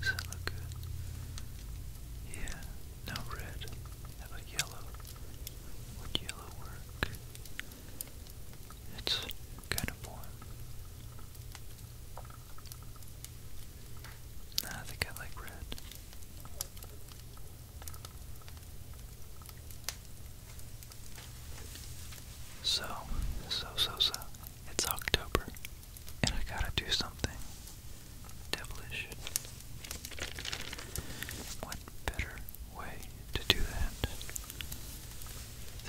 Does good? Yeah, no red. How about yellow? Would yellow work? It's kind of warm. I think I like red. So, so, so, so. It's October, and I gotta do something devilish. What better way to do that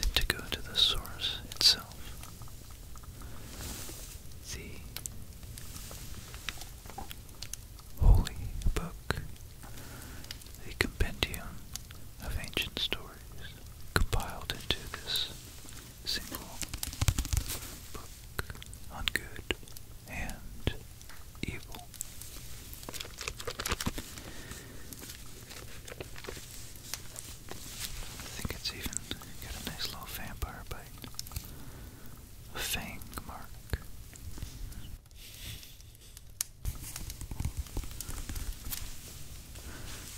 than to go to the source itself? The Holy Book, the Compendium of Ancient Stories compiled into this single book on good and evil. I think it's even got a nice little vampire bite. A fang mark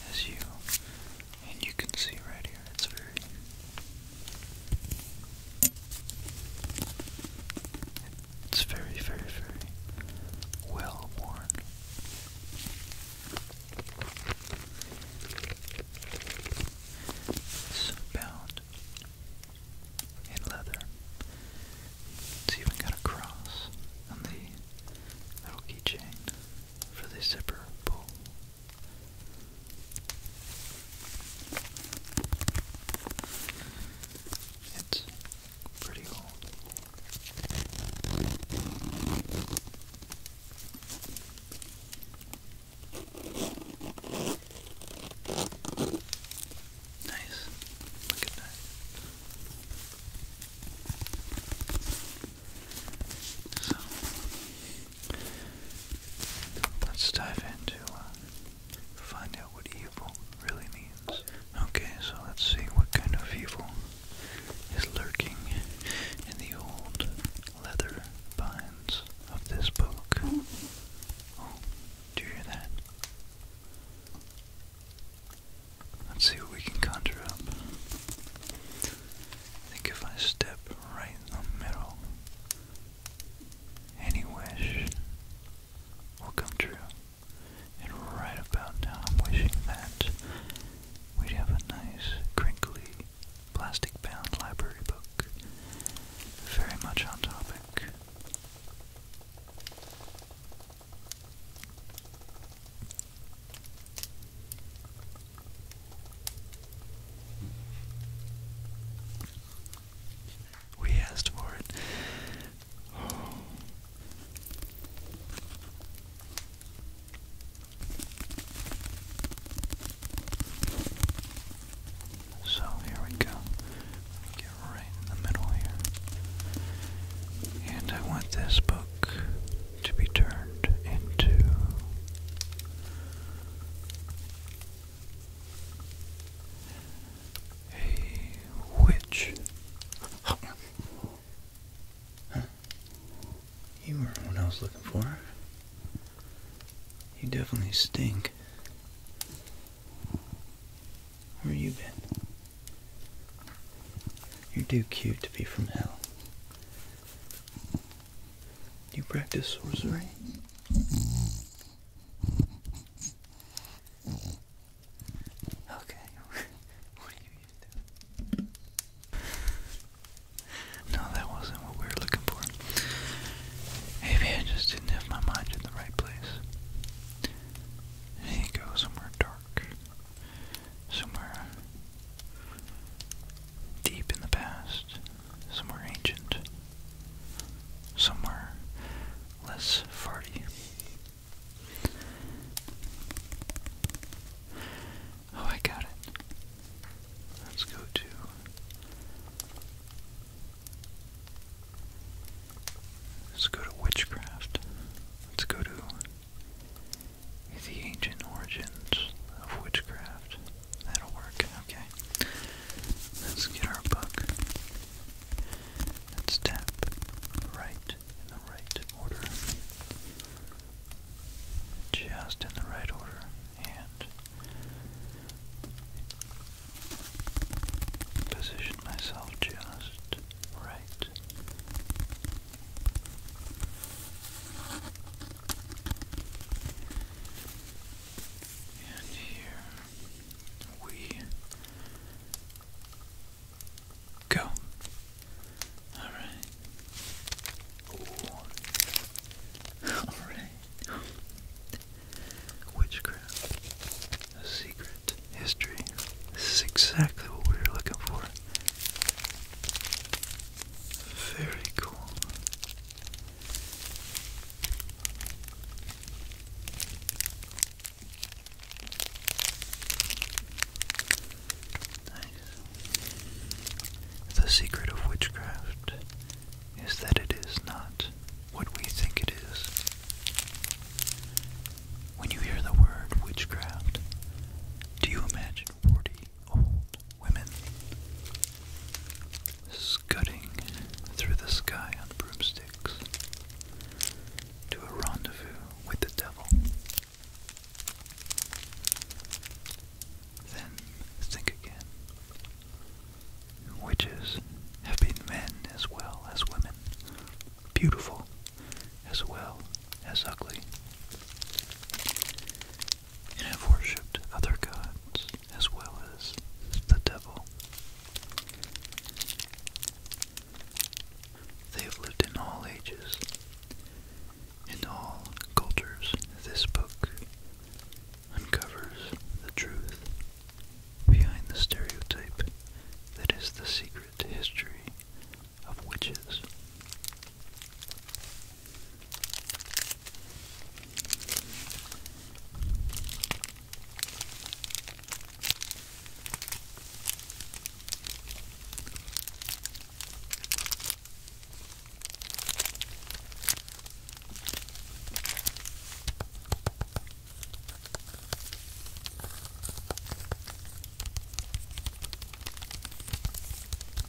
as you, and you can see right here, it's very, it's very, very, very well worn. It's bound in leather. It's even got a cross on the little keychain for the zipper pull. It's pretty old. Nice. Look at that. So let's dive into uh, find out what evil really means. Okay, so let's see what kind of evil is lurking in the old leather binds of this book. Oh, do you hear that? Let's see what we can conjure up. I think if I step right in the middle, any wish will come true. And right about now, I'm wishing that we'd have a nice, crinkly, plastic bound library book. Very much on topic. We asked for it. So here we go. right in the middle here. And I want this book to be turned into a witch. Huh? You were what I was looking for. You definitely stink. Where you been? You're too cute to be from hell. You practice sorcery? Okay. what are you doing? No, that wasn't what we were looking for. Maybe I just didn't have my mind in the right place. I need go somewhere dark somewhere deep in the past, somewhere ancient, somewhere less farty. Oh, I got it. Let's go to. Let's go to witchcraft. Let's go to the ancient origins of witchcraft. That'll work, okay. Let's get our book. Let's tap right in the right order. Just in the right order. And position myself just right. And here we go. All right. Ooh. All right. Witchcraft, a secret history. This is exactly what we were looking for. Very cool. Nice. The secret of witchcraft is that it is not what we think it is. When you hear the word witchcraft, do you imagine warty old women scudding through the sky on broomsticks to a rendezvous with the devil? Then think again. Witches have been men as well as women, beautiful as well as ugly, and have worshipped other gods as well as the devil. They have lived in all ages, in all cultures. This book uncovers the truth behind the stereotype that is the secret history of witches.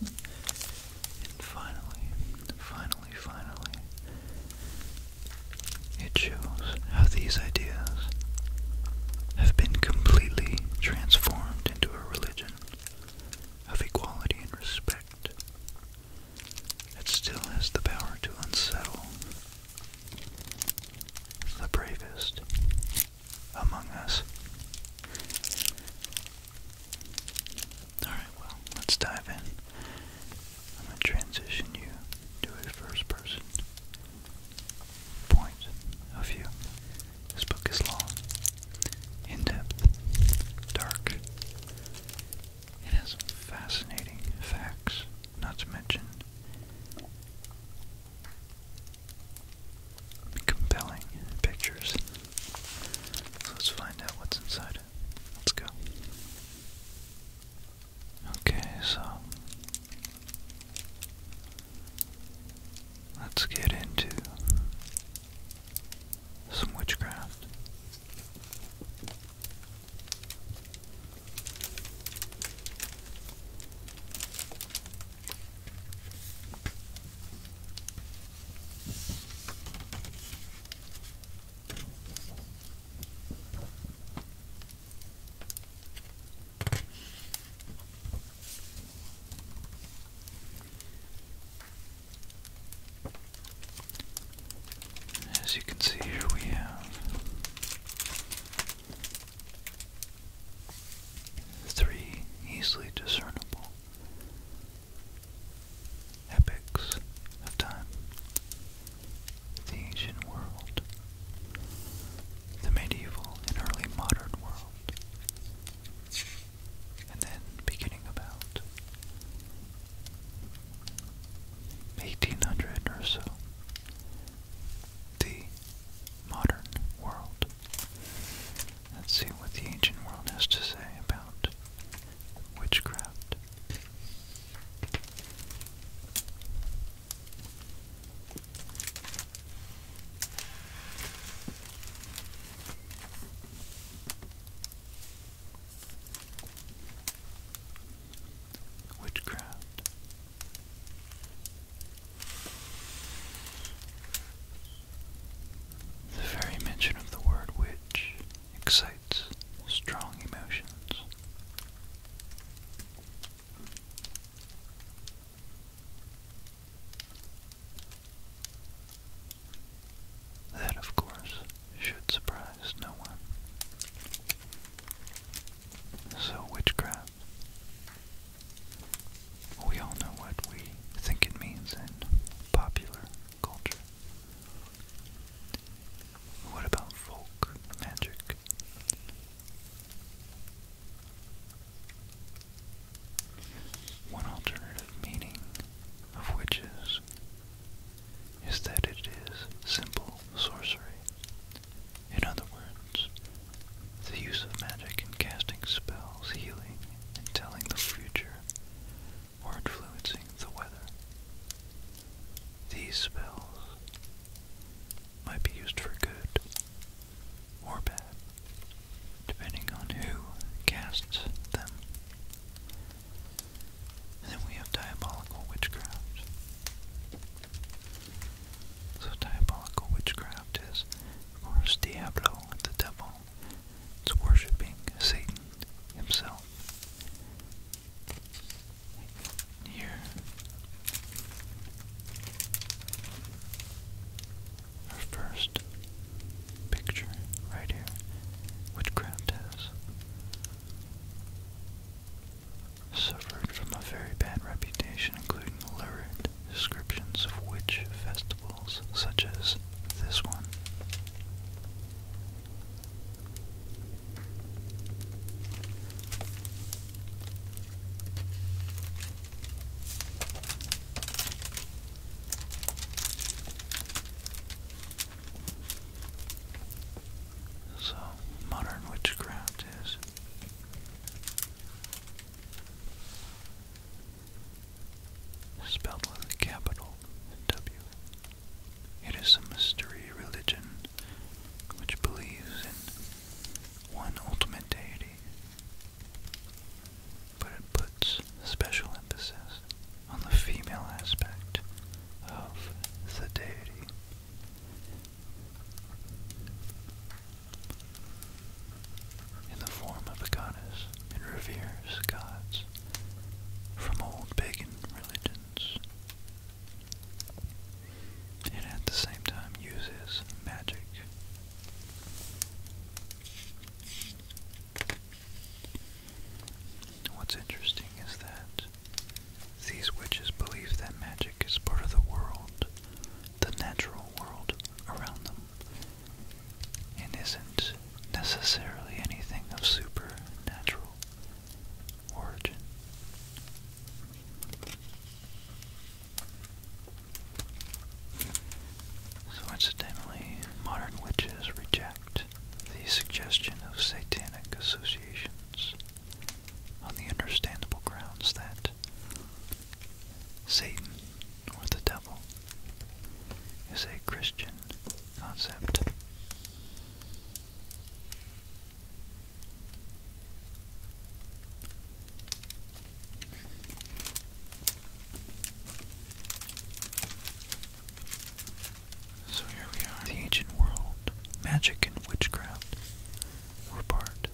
And finally, finally, finally, it shows how these ideas have been completely transformed into a religion of equality and respect It still has the power to unsettle the bravest among us. Alright, well, let's dive in. I'm going to transition you to a first person point of view. This book is long, in depth, dark. It has fascinating facts, not to mention compelling pictures. let's find out what's inside Let's go. Okay, so let's get into some witchcraft. As you can see here we have Three easily discernible epics of time. The ancient world, the medieval and early modern world, and then beginning about 1800 or so, the modern world. Let's see what the ancient world has to say about witchcraft. Witchcraft the very mention of the word witch excites strong emotions. That, of course, should surprise no one. So, witchcraft we all know what we think it means in popular culture. What about folk magic? One alternative meaning of witches is that it is simple sorcery. In other words, the use of magic in casting spells, healing, and telling the future, or influencing the weather. These spells might be used for good or bad, depending on who casts them. then we have diabolical witchcraft. So diabolical witchcraft is, of course, Diablo, the devil. It's worshipping Satan himself. Here our first picture right here, witchcraft has suffered from a very bad reputation, including lurid descriptions of witch festivals, such as this one. So, modern witchcraft is Spelled with a capital W. It is a mystery religion which believes in one ultimate deity, but it puts special emphasis on the female aspect of the deity in the form of a goddess and reveres gods from old pagan religions. and at the same time uses magic. What's interesting is that these witches believe that magic is part of the world the natural world around them and isn't necessarily anything of supernatural origin. So modern witches reject the suggestion of satanic associations on the understandable grounds that Satan, or the devil, is a Christian concept. So here we are. The ancient world, magic and witchcraft were part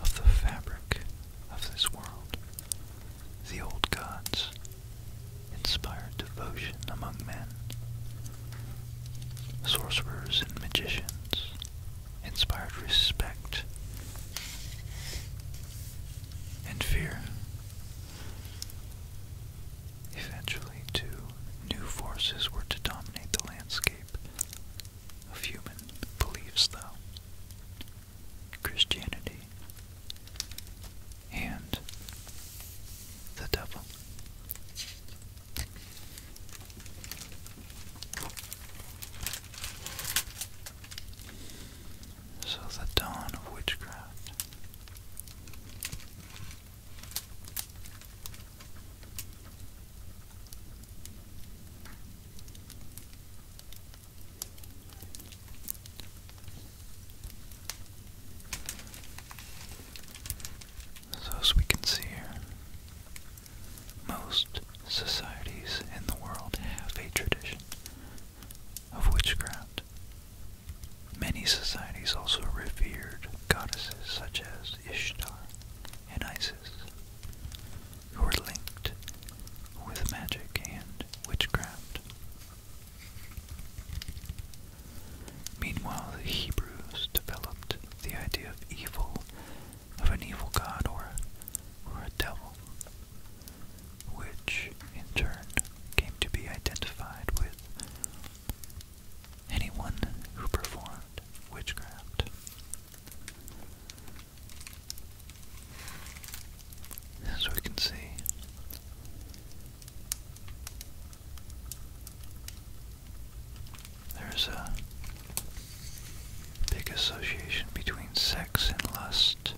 of the fabric of this world. The old gods inspired devotion among men. Sorcerers and magicians inspired respect and fear. Eventually, two new forces were to dominate the landscape of human beliefs, though Christianity and the devil. So, the dawn of witchcraft. So, as we can see here, most societies in the world have a tradition of witchcraft. Many societies also revered goddesses such as Ishtar and Isis, who are linked with magic and witchcraft. Meanwhile, the Hebrews developed the idea of evil, of an evil god or, or a devil, which in turn came to be identified with anyone who performed witchcraft. As we can see, there's a big association between sex and lust.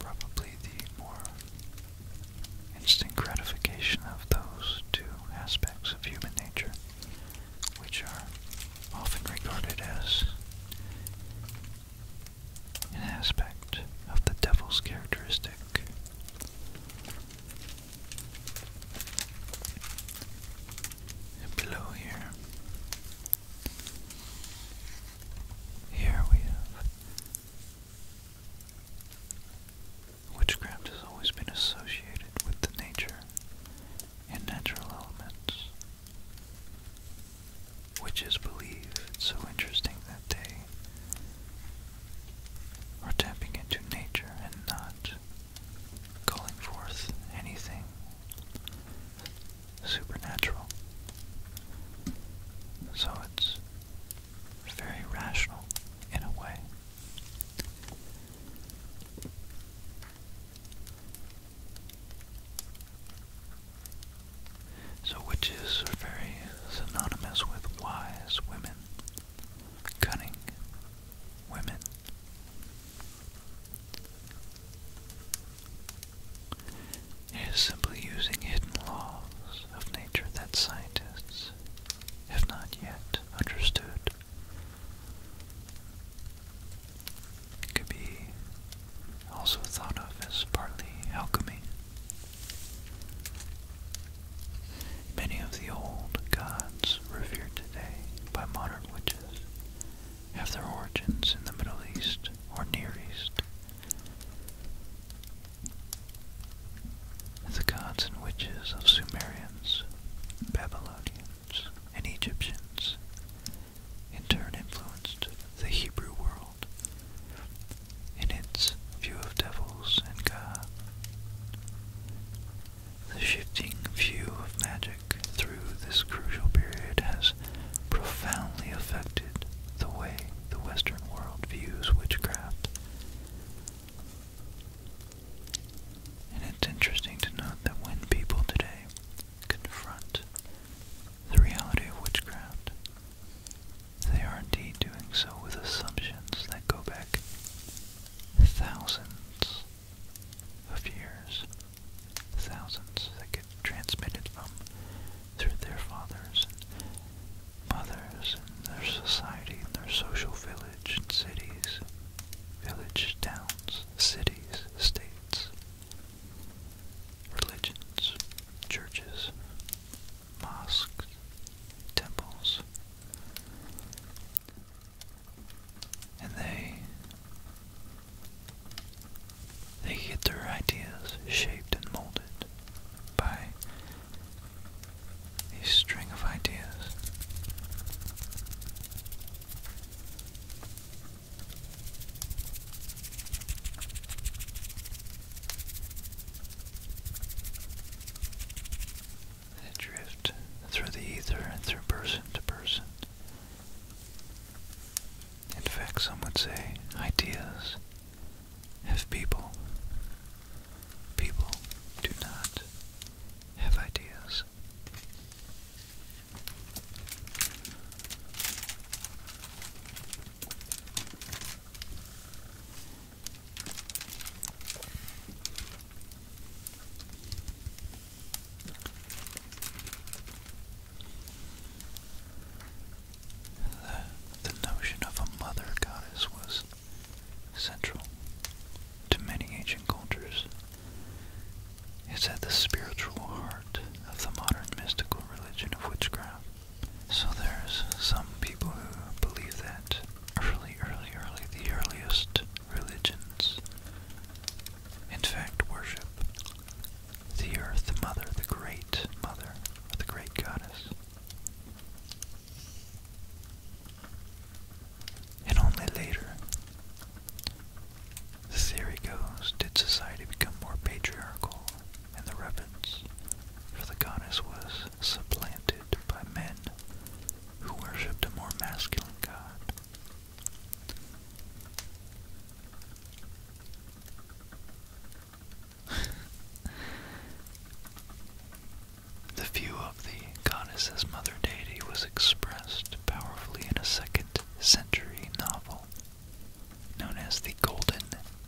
Probably the more instant gratification of those two aspects of human nature which are often regarded as an aspect of the devil's characteristic. below here, here we have. Witchcraft has always been associated with the nature and natural elements, which is it's so interesting that they are tapping into nature and not calling forth anything supernatural. So it's very rational in a way. So witches are very synonymous with wise women, cunning women. It is simply using hidden laws of nature that scientists have not yet understood. It could be also thought of as partly alchemy. Many of the old gods revered today by modern witches have their origins in the Middle East or Near East. The gods and witches of Sumerians, Babylonians, and Egyptians, in turn influenced the Hebrew world in its view of devils and God. The shifting view of magic through this crucial period has profoundly affected the way the Western world views witchcraft. And it's interesting to note that when people today confront the reality of witchcraft, they are indeed doing so with assumptions that go back thousands of years, thousands that get transmitted from through their fathers and mothers and their society and their social village and cities, village towns cities, states, religions, churches, mosques, temples, and they they get their ideas shaped and molded by a string of ideas they drift through the ether and through person to person. In fact, some would say ideas have people. People do not have ideas the notion of a mother goddess was central to many ancient cultures it's at the spiritual heart of the modern mystical religion of witchcraft. So there's some people who believe that early, early, early, the earliest religions, in fact, worship the Earth the Mother, the Great Mother, or the Great Goddess. And only later, the theory goes, did society become more patriarchal and the reverence for the goddess was supplanted by men who worshipped a more masculine god. the view the goddess as mother deity was expressed powerfully in a second century novel known as The Golden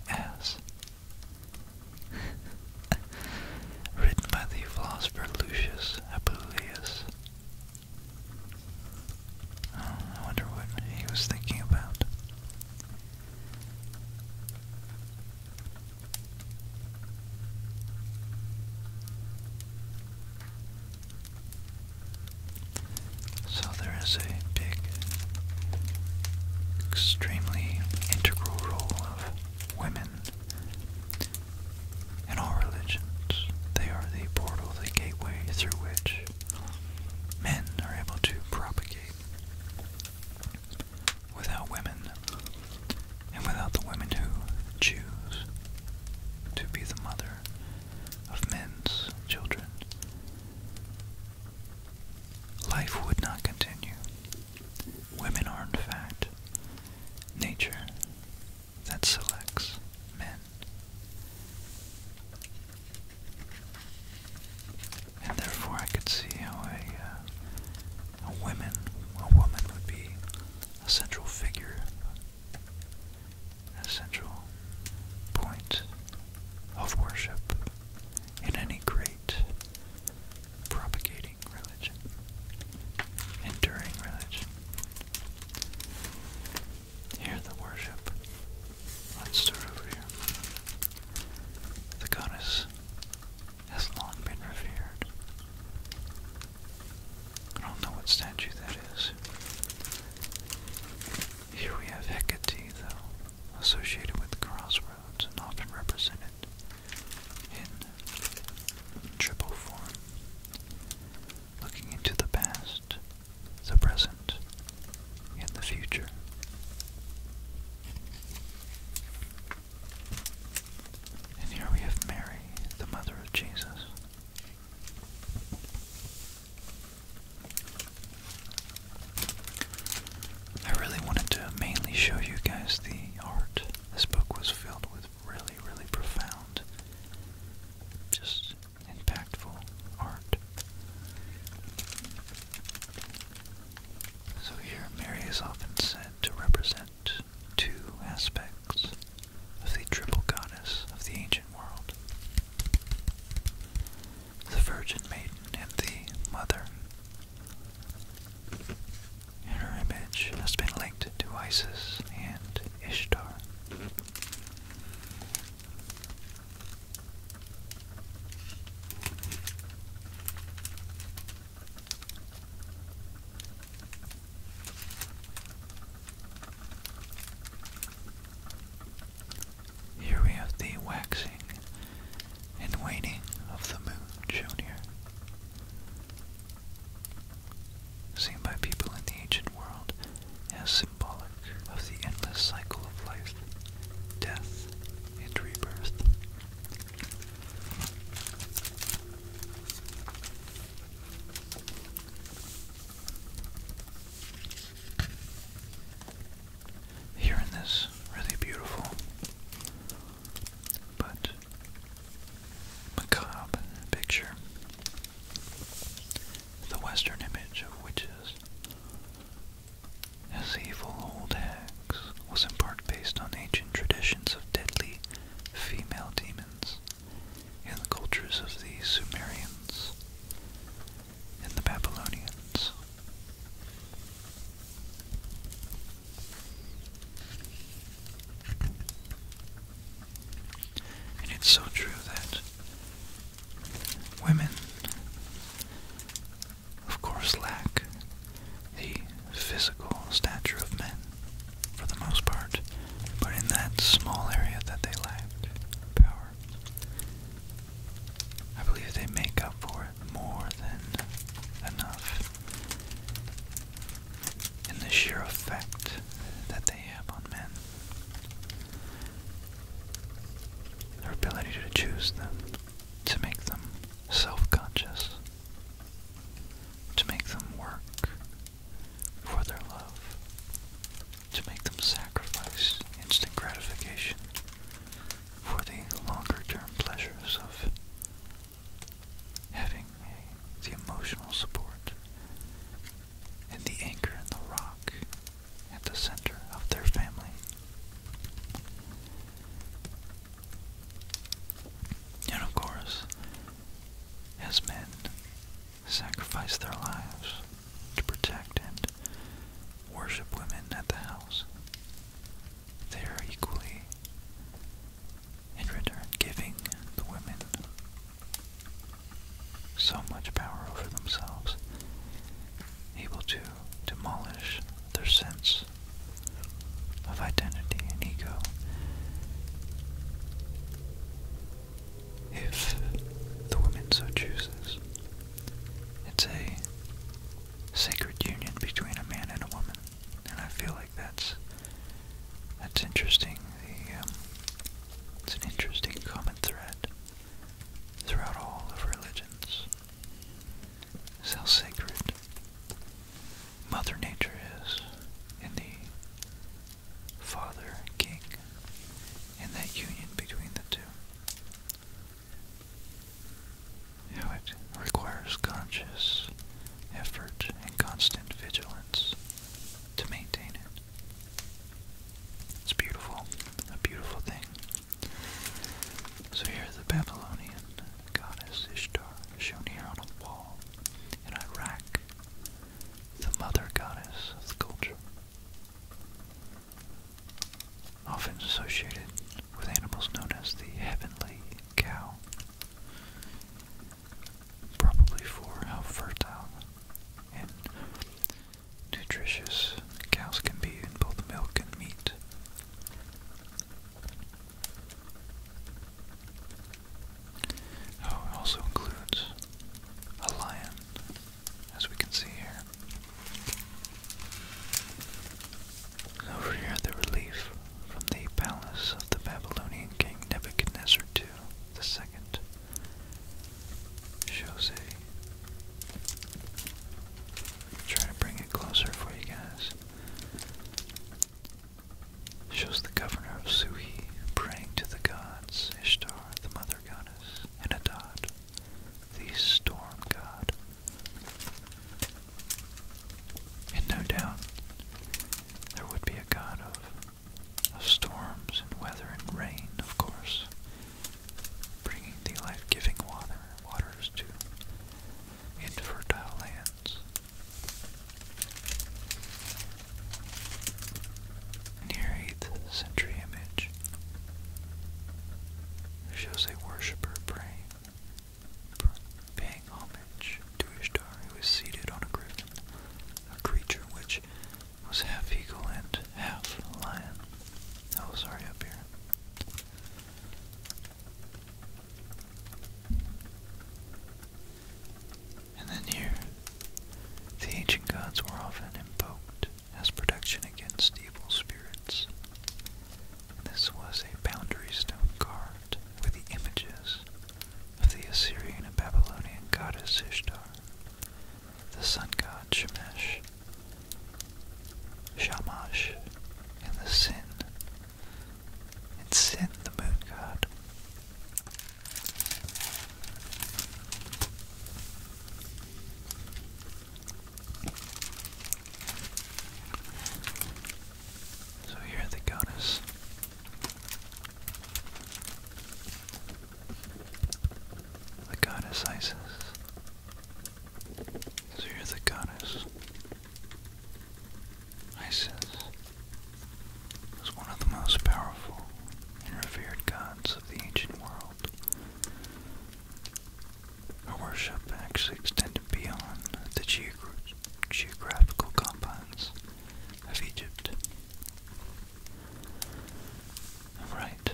Ass. Written by the philosopher Lucius Apuleius. Oh, I wonder what he was thinking about. So there is a big, extremely integral role of women in all religions. They are the portal, the gateway through which men are able to propagate. Without women, and without the women who choose to be the mother of men's children, life would not continue. Women are, in fact, nature that selects men. And therefore, I could see how a, uh, a woman, a woman would be a central figure, a central point of worship in any great propagating religion, enduring religion. Here the worship. let The goddess has long been revered I don't know what statue that is. Here we have Hecate, though, associated with crossroads and often represented in triple form, looking into the past, the present, and the future. And here we have Mary, the mother of Jesus. I really wanted to mainly show you guys the art. This book was filled with really, really profound, just impactful art. So here, Mary is often said to represent two aspects of the triple goddess of the ancient world the Virgin Maiden and the Mother. Her image has been linked to Isis and Ishtar. Here we have the waxing and waning of the moon shown here. Seen by people in the ancient world as symbolic of the endless cycle of life, death, and rebirth. Here in this really beautiful but macabre picture, the western image of witches as evil old hags was in part based on ancient traditions of deadly female demons in the cultures of the Sumerians and the Babylonians. And it's so true that women, of course, lack the physical stature of men for the most part, but in that small area that they lack power, I believe they make up for it more than enough in the sheer effect that they have on men. Their ability to choose them, to make them self conscious, to make them work for their love, to make them sacrifice instant gratification for the longer term pleasures of having the emotional support and the anchor and the rock at the center of their family. And of course, as men sacrifice their lives to protect and worship women at the house. They are equally, in return, giving the women so much power over themselves, able to demolish their sense of identity and ego if the woman so chooses. It's a sacred union between a man and a woman, and I feel like that's that's interesting. The um, it's an interesting common thread throughout all of religions. So sacred Mother Nature is in the Father King and that union between the two. How it requires conscious effort and constant vigilance to maintain it. It's beautiful, a beautiful thing. So here is the Babylonian goddess Ishtar shown here on a wall in Iraq the mother goddess of the culture, often associated with animals known as the heavenly cow, probably for how fertile and nutritious cows can be in both milk and meat. Oh, it also includes a lion, as we can see here. Over here, the relief from the palace of the Babylonian king Nebuchadnezzar II the second shows a. to bring it closer for you guys shows the governor of Suhi praying to the gods Ishtar, the mother goddess, and Adad, the storm god. And no doubt there would be a god of, of storms and weather and rain, of course, bringing the life-giving water waters to infertile lands. Near 8th century image shows a worshipper praying, paying homage to Ishtar, who is seated on a griffin, a creature which was half eagle and half lion. Oh, sorry, up here. And then here, the ancient gods were often invoked as protection against evil spirits. This was a boundary stone carved with the images of the Assyrian and Babylonian goddess Ishtar, the sun god Shemesh, Shamash, and the Sin and send the moon god. So here the goddess. The goddess Isis. So you the goddess. Isis was one of the most powerful and revered gods of the ancient world. Her worship actually extended beyond the geographical confines of Egypt. All right.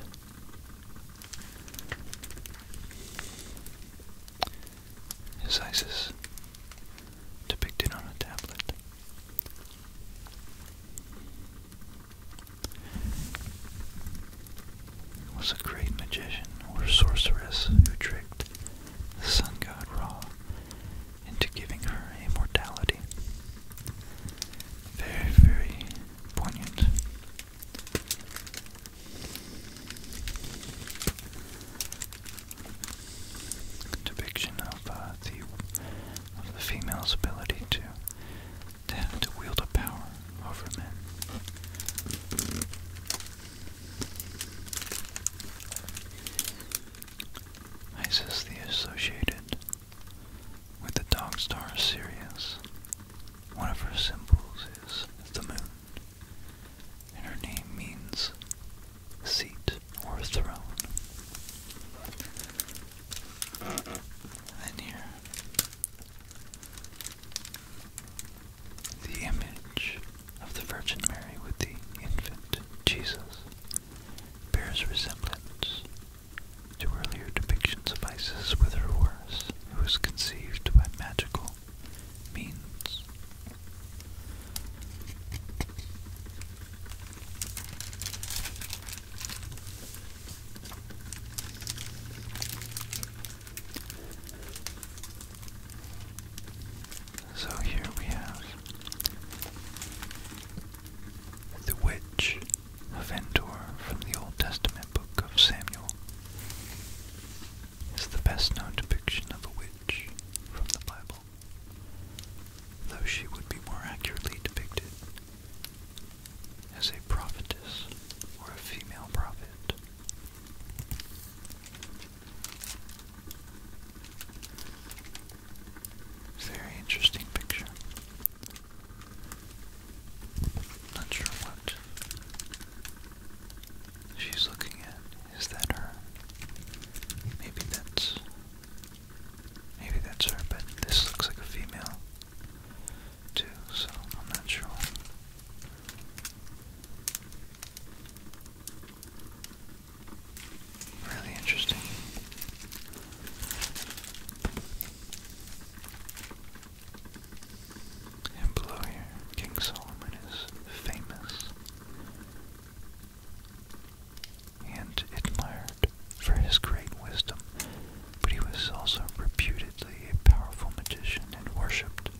Is Isis depicted on a tablet. was a great magician or sorceress who tricked the sun god Ra into giving her immortality. Very, very poignant depiction of uh, the of the female's ability to to wield a power over men. Isis the associated with the dog star Sirius. One of her symbols is the moon and her name means seat or throne. Then here, the image of the Virgin Mary with the infant Jesus bears resemblance to earlier depictions of Isis with her horse, who was conceived by magical means so here we have the Witch of Endor from the Old Testament book of Samuel. It's the best known depiction of a witch from the Bible though she would be more accurately depicted as a prophetess or a female prophet. Very interesting picture. Not sure what she's looking at is that her? Maybe that's maybe that's her, but this looks like a female too, so I'm not sure. Really interesting. And below here, King Solomon is famous and admired for his great wisdom, but he was also reputedly a powerful magician and worshipped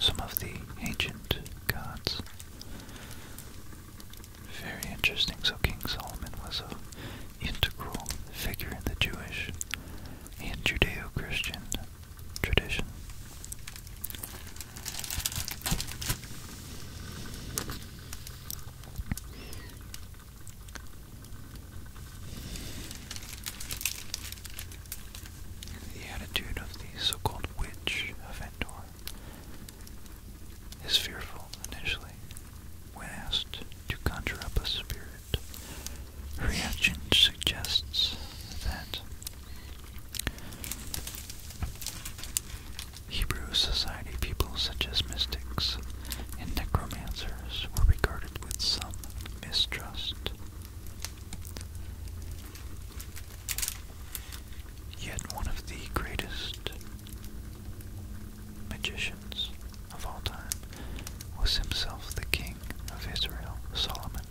some of the ancient gods. Very interesting. So King Solomon was an integral figure in the Jewish and Judeo-Christian tradition. The attitude of the so-called witch of Endor is fearful initially. When asked to conjure up a spirit, her reaction suggests that Hebrew society people such as mystics and necromancers were regarded with some mistrust. Yet one of the greatest magicians of all time was himself the king of Israel, Solomon,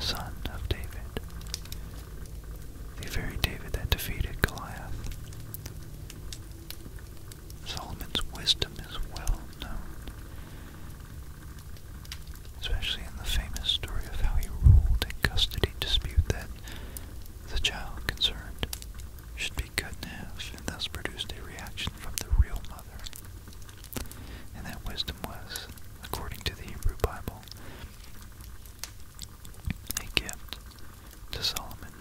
son of David, the very David that defeated Goliath. Solomon's wisdom is well known, especially in the famous story of how he ruled in custody dispute that the child concerned should be cut in half and thus produced a reaction from the real mother. And that wisdom was, according to the Hebrew Bible, a gift to Solomon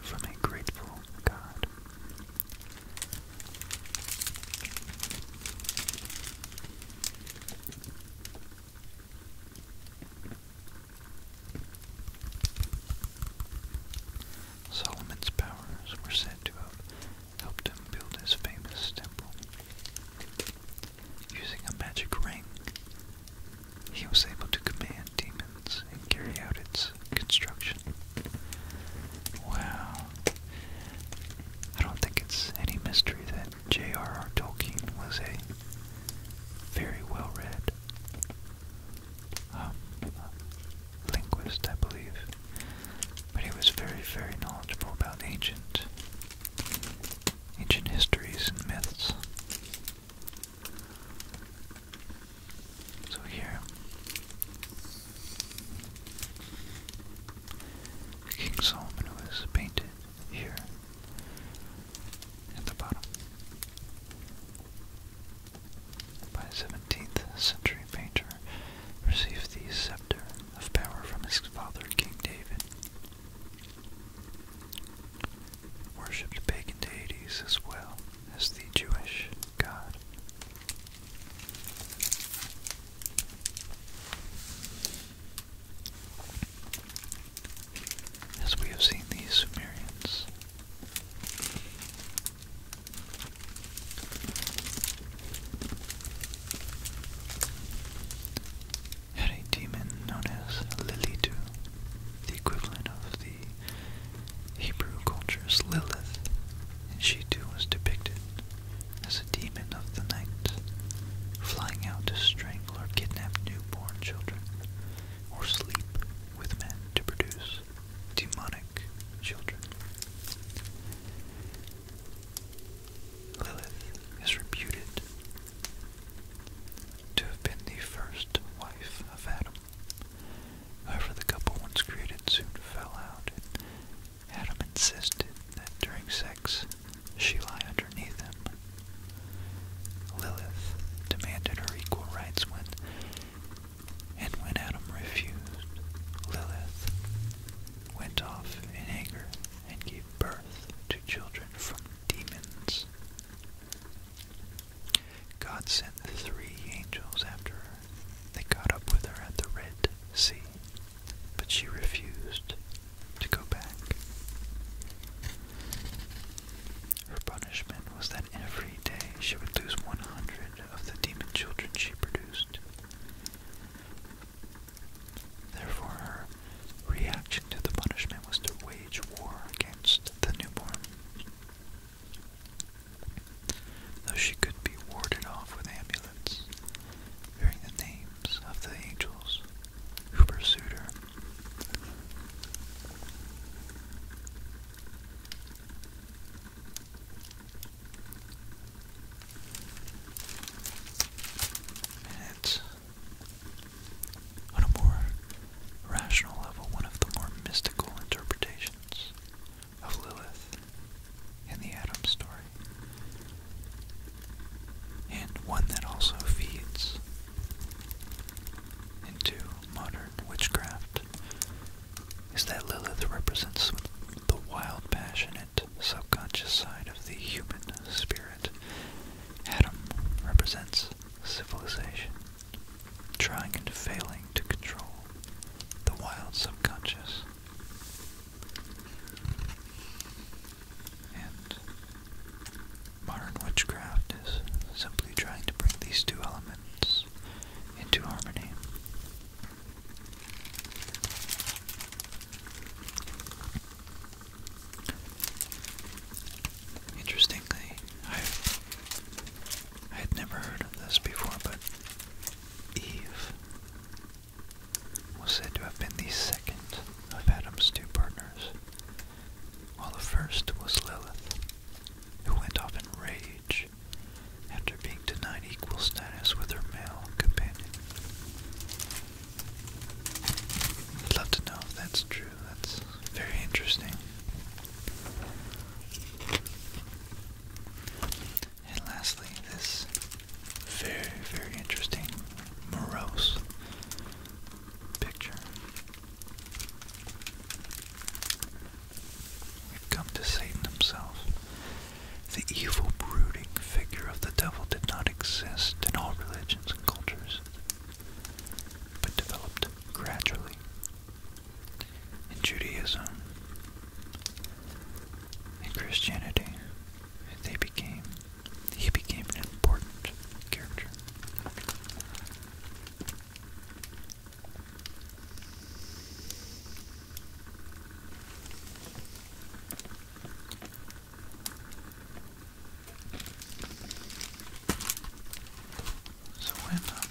from a grateful God. Solomon's powers were said to have helped him build his famous temple. Using a magic ring, he was able to command demons and carry out its construction. Wow. I don't think it's any mystery that J.R.R. Tolkien was a very well read um, linguist, I believe. But he was very, very knowledgeable about ancient ancient histories and myths. So here, King Solomon was painted here at the bottom by a 17th century painter received the scepter of power from his father King David worshipped pagan deities as well as the Jewish god. As we have seen, the Sumerians had a demon known as Lilith, the equivalent of the Hebrew culture's Lilith, and she too was depicted as a demon of the night, flying out to strangle or kidnap newborn children, or sleep with men to produce demonic children. Lilith is reputed to have been the first wife of Adam. However, the couple once created soon fell out, Adam insisted that during sex she lie underneath him. Lilith demanded her equal rights when, and when Adam refused, Lilith went off in anger and gave birth children from demons. God sent the three angels after her. They got up with her at the Red Sea, but she refused to go back. Her punishment was that every day she would lose 100 of the demon children she produced. Therefore, her reaction to the punishment was to wage war against the newborn. Though she could be warded off with amulets, hearing the names of the angels who pursued her. And on a more rational level, one of the more mystical interpretations of Lilith in the Adam story, and one that also feeds into modern witchcraft, is that Lilith represents the wild, passionate, subconscious side of the human spirit. Adam represents civilization, trying and failing to control the wild subconscious. And modern witchcraft is simply trying to bring these two elements into harmony. Interestingly, I've, had never heard of this before, but Eve was said to have been the second of Adam's two partners, while the first was Lilith, who went off in rage after being denied equal status with her male companion. I'd love to know if that's true. That's very interesting. And lastly, this very, very interesting morose picture. We've come to Satan himself. The evil, brooding figure of the devil did not exist in all religions and cultures, but developed gradually. In Judaism and Christianity, they became he became an important character. So when um,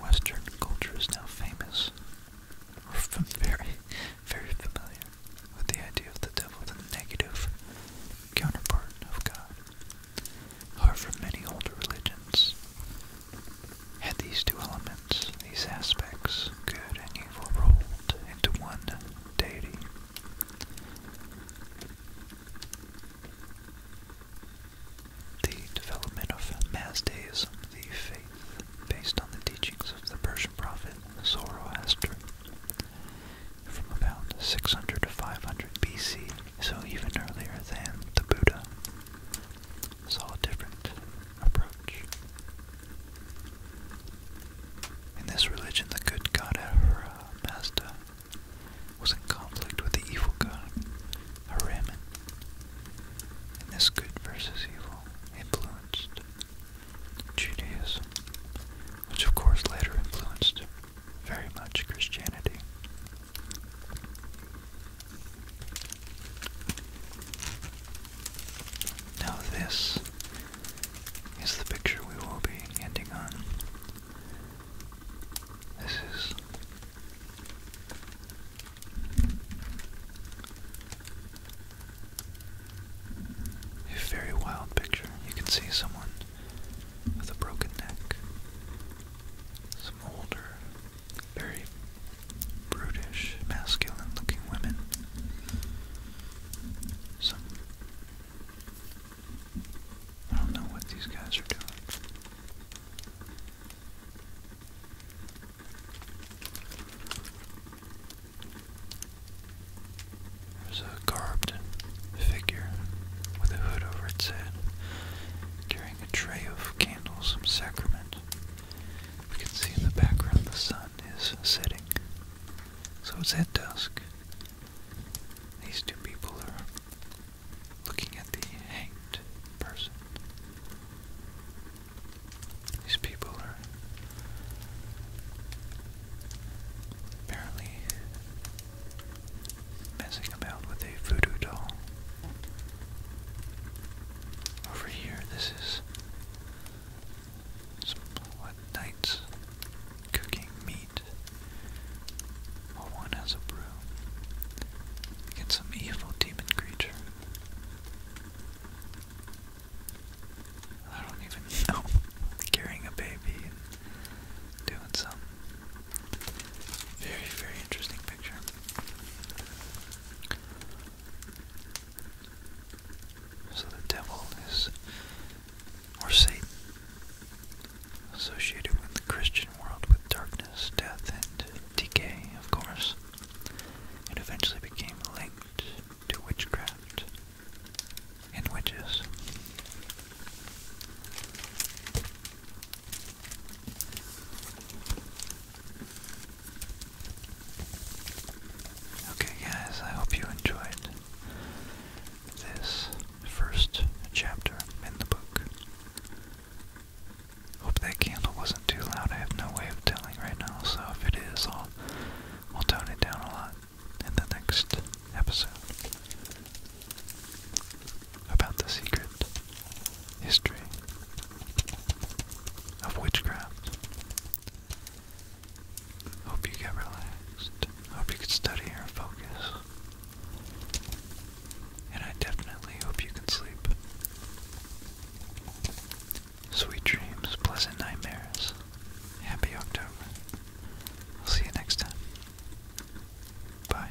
Western culture is now famous, or very, very familiar with the idea of the devil, the negative counterpart of God. However, many older religions had these two elements, these aspects, good and evil, rolled into one deity. The development of Mazdaism, the faith based on the teachings of the Persian prophet Zoroaster, from about 600 to 500 BC, so even earlier than the Buddha, saw a different approach. In this religion, the good god Ahura Mazda was in conflict with the evil god Ahriman, and this good versus evil influenced Judaism, which of course later influenced very much Christianity. Now this is the picture we will be ending on. This is a very wild picture. You can see someone with a broken neck, some older very brutish, masculine looking women. Some. I don't know what these guys are doing. There's a garbed figure with a hood over its head, carrying a tray of candles, and sacrament. We can see in the background the sun is setting. So it's at dusk. These two people are looking at the hanged person. These people are apparently messing about with a voodoo doll over here. This is some what knights cooking meat. Well, one has a brew. Get some evil demon creature. I don't even know. Carrying a baby and doing some very, very interesting picture. So the devil is, or Satan, associated with the Christian world with darkness, death, and decay, of course. It eventually became linked to witchcraft and witches. Okay, guys, I hope you enjoyed this first chapter in the book. Hope that candle wasn't too loud. I have no way of telling right now, so if it is, I'll, I'll tone it down a lot in the next episode about the secret history of witchcraft. Hope you get relaxed. Hope you can study or focus. And I definitely hope you can sleep. Sweet dreams, pleasant nightmares. Happy October. I'll see you next time. Bye.